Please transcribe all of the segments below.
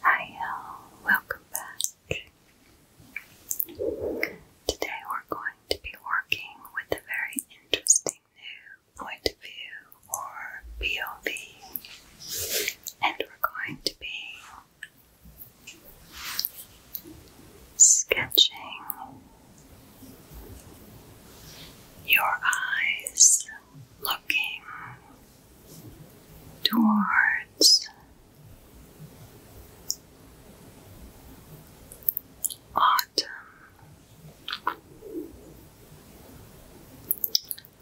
Hi, all Welcome back. Today we're going to be working with a very interesting new point of view or POV, and we're going to be sketching your eyes looking towards autumn.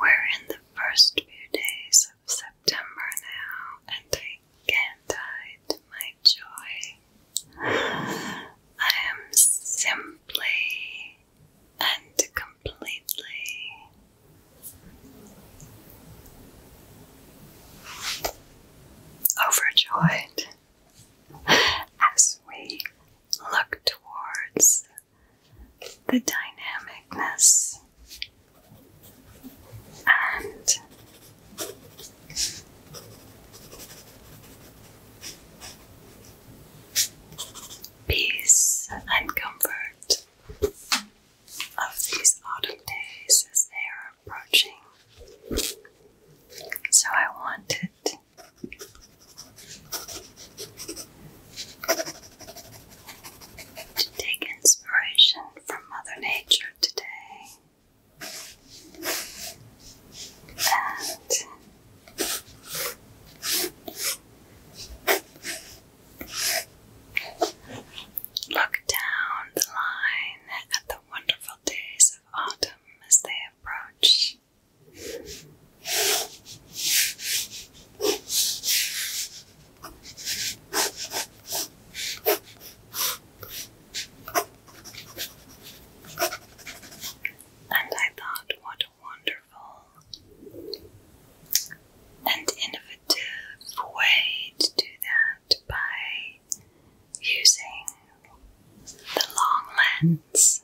We're in the first few days of September now, and I can't hide my joy. I am simply and completely. Overjoyed as we look towards the dynamicness and peace and comfort of these autumn days as they are approaching. So I wanted to take inspiration from Mother Nature today. And Look down the line at the wonderful days of autumn as they approach. And I thought, what a wonderful and innovative way to do that by using the long lens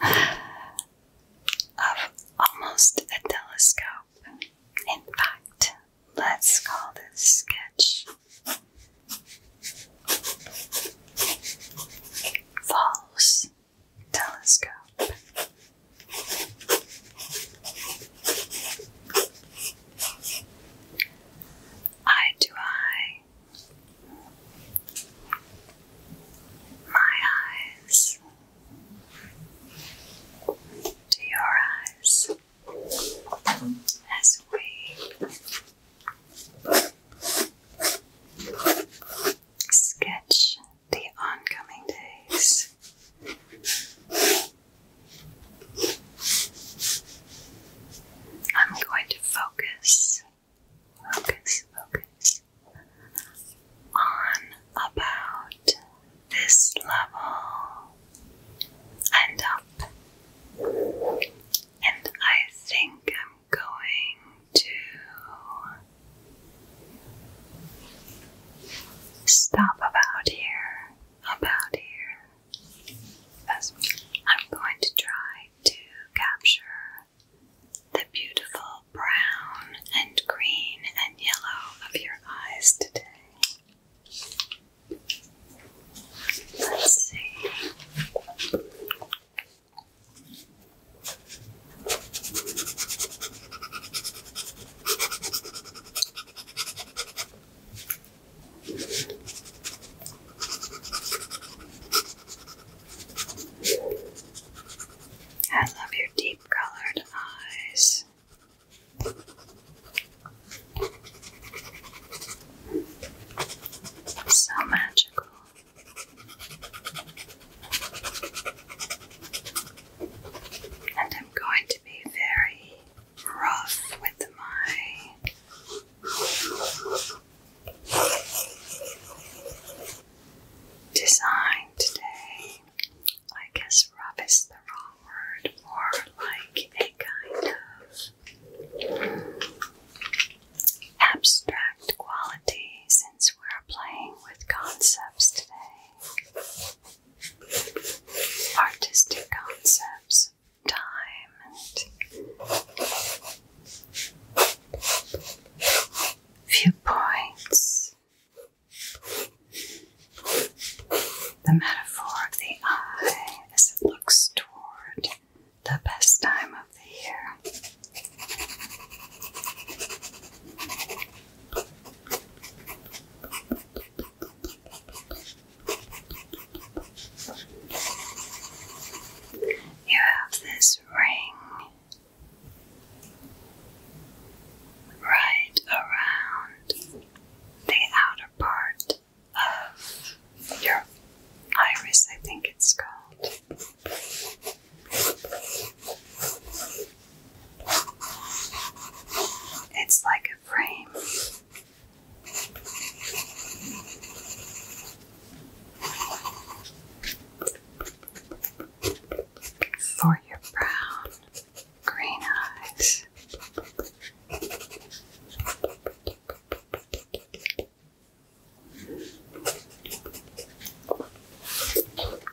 of almost a telescope. In fact, let's call this sketch Falls telescope. Eye to eye. My eyes to your eyes as we sketch the oncoming days. I'm going to focus, focus, focus on about this level and up. And I think I'm going to stop about here, about here. I'm going to try to capture the beautiful brown and green and yellow of your eyes today. Let's see. I love your deep colored eyes. So magical. And I'm going to be very rough with my design today. I guess rough is the wrong word, more like a kind of abstract qualities since we're playing with concepts today, artistic concepts, time, viewpoints, the metaphor of the eye as it looks toward the best time of the year. You have this ring right around the outer part of your iris, I think it's called. It's like a frame. For your brown, green eyes.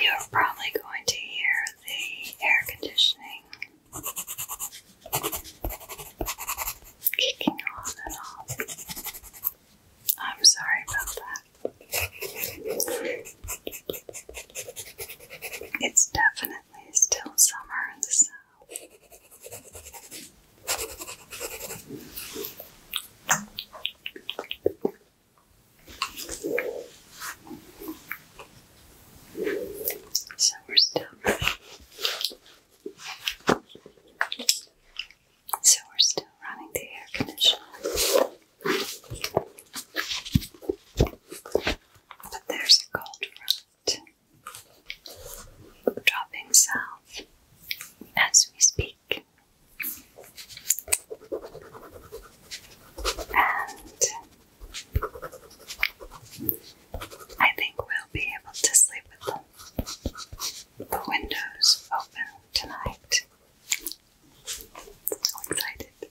You're probably going to hear the air conditioning kicking on and off. I'm sorry about that. It's definitely definitely still summer in the south. Summer stuff. So we're still running the air conditioner. But there's a cold front dropping south as we speak. And I think we'll be able to sleep with The windows open tonight. So excited.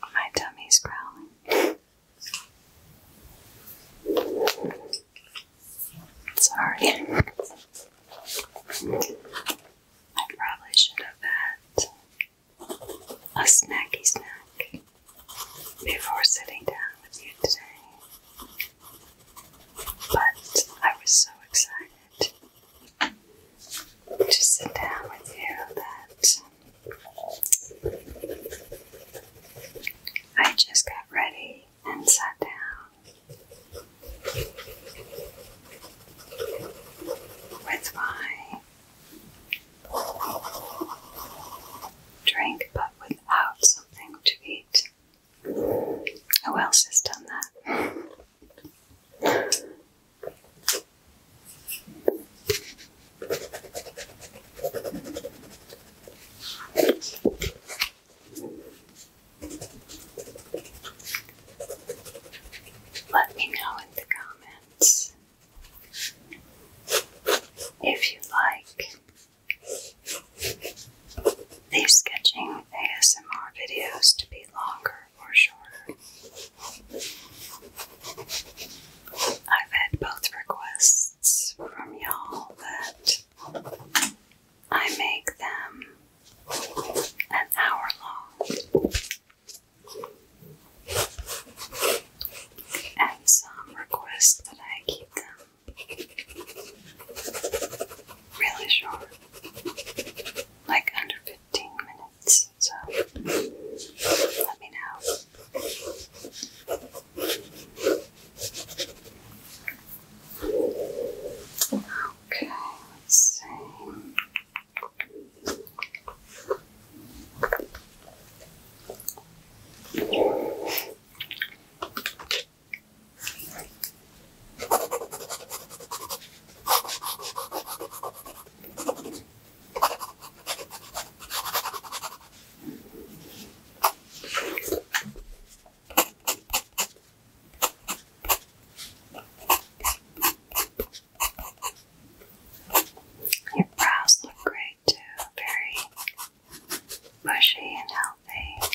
My tummy's growling. Sorry. I probably should have had a snacky snack before sitting down with you today, but I was so excited to sit down with you that I just got ready and sat down with my drink, but without something to eat. Who else has done that? Let me know in the comments if you like these sketching ASMR videos to be longer or shorter. I've had both requests from y'all that I make them an hour long. And some requests that I keep them really short, like under 15 minutes. So let me know. Okay, let your brows look great too, very bushy and healthy.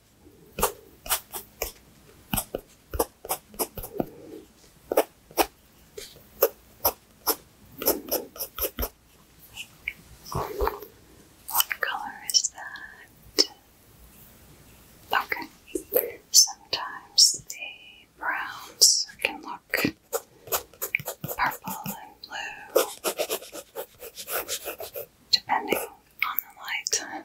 What color is that? Okay. Sometimes the browns can look purple and blue depending on the light.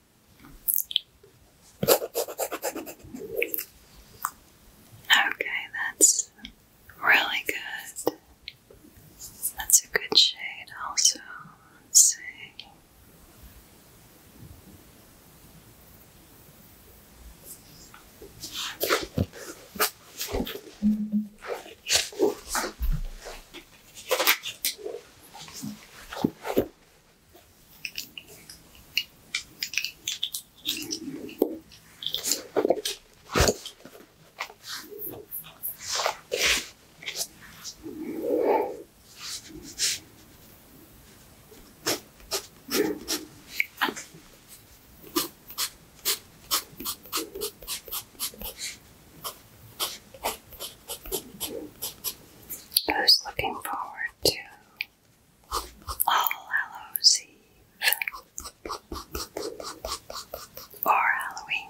Okay, that's really good. That's a good shade, also. Let's see. I was looking forward to all Hallows or Halloween.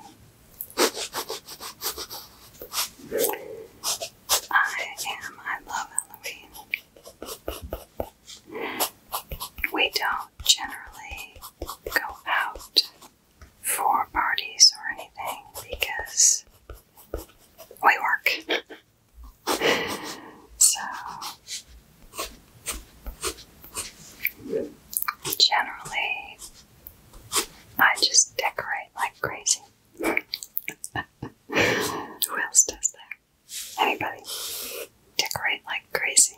I am, I love Halloween. We don't generally go out for parties or anything because we work so, generally, I just decorate like crazy. Who else does that? Anybody? Decorate like crazy.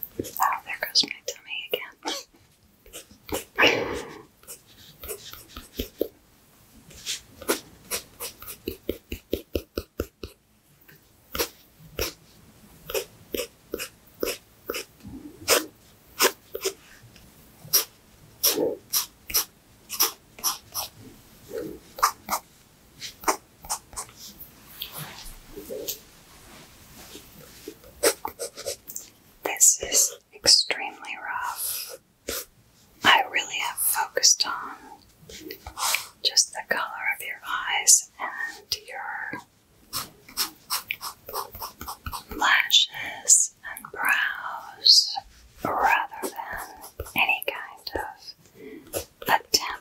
Oh, there goes my tummy again. This is extremely rough. I really have focused on just the color of your eyes and your lashes and brows rather than any kind of attempt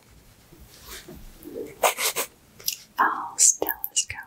Oh, telescope.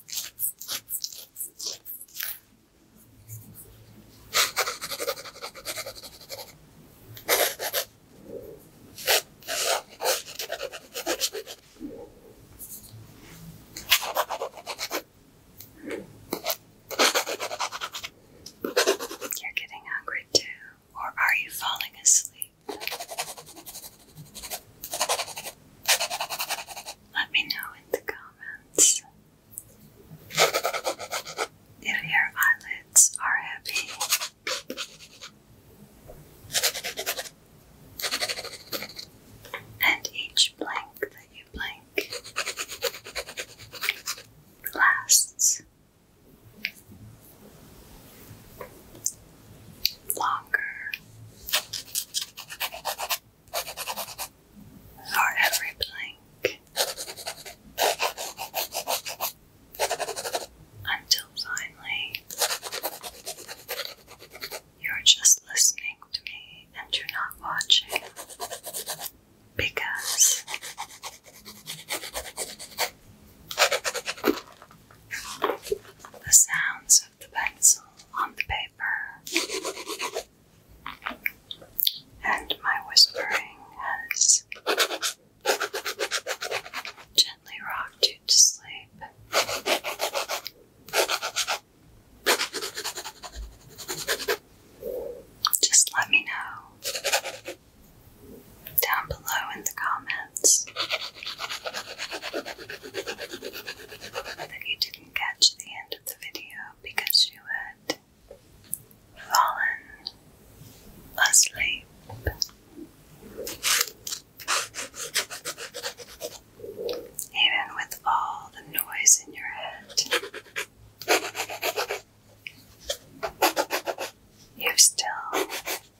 You're getting hungry too, or are you falling asleep? Let me know in the comments if your eyelids are heavy. And each blink that you blink lasts longer for every blank until finally you're just listening to me and you're not watching because the sounds the pencil on the paper, and my whispering has gently rocked you to sleep. Just let me know down below in the comments. That you didn't catch the end of the video because you had fallen asleep. Even with all the noise in your head, you still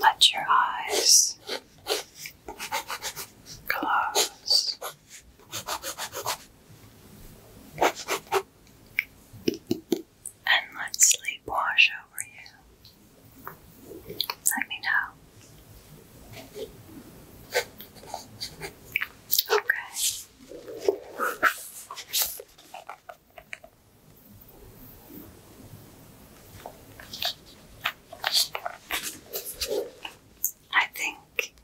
let your eyes close. And let sleep wash over you. Let me know. Okay. I think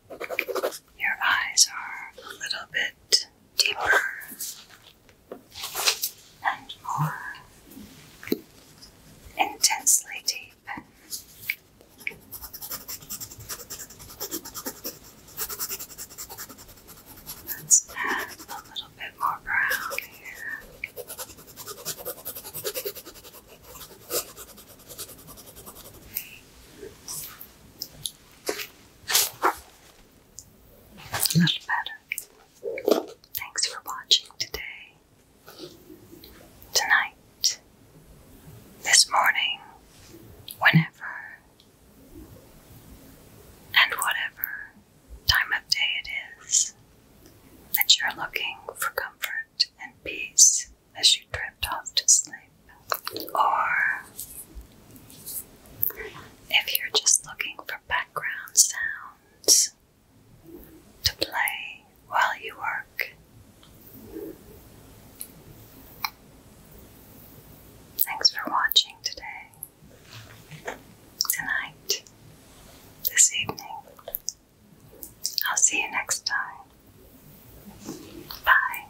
your eyes are a little bit deeper and more intensely deep. Let's add a little bit more brown here. A little better. Thanks for watching today. Tonight this morning, whenever, and whatever time of day it is that you're looking for comfort and peace as you drift off to sleep, or if you're just looking for background sounds to play while you work Thanks for watching today, tonight, this evening. I'll see you next time. Bye.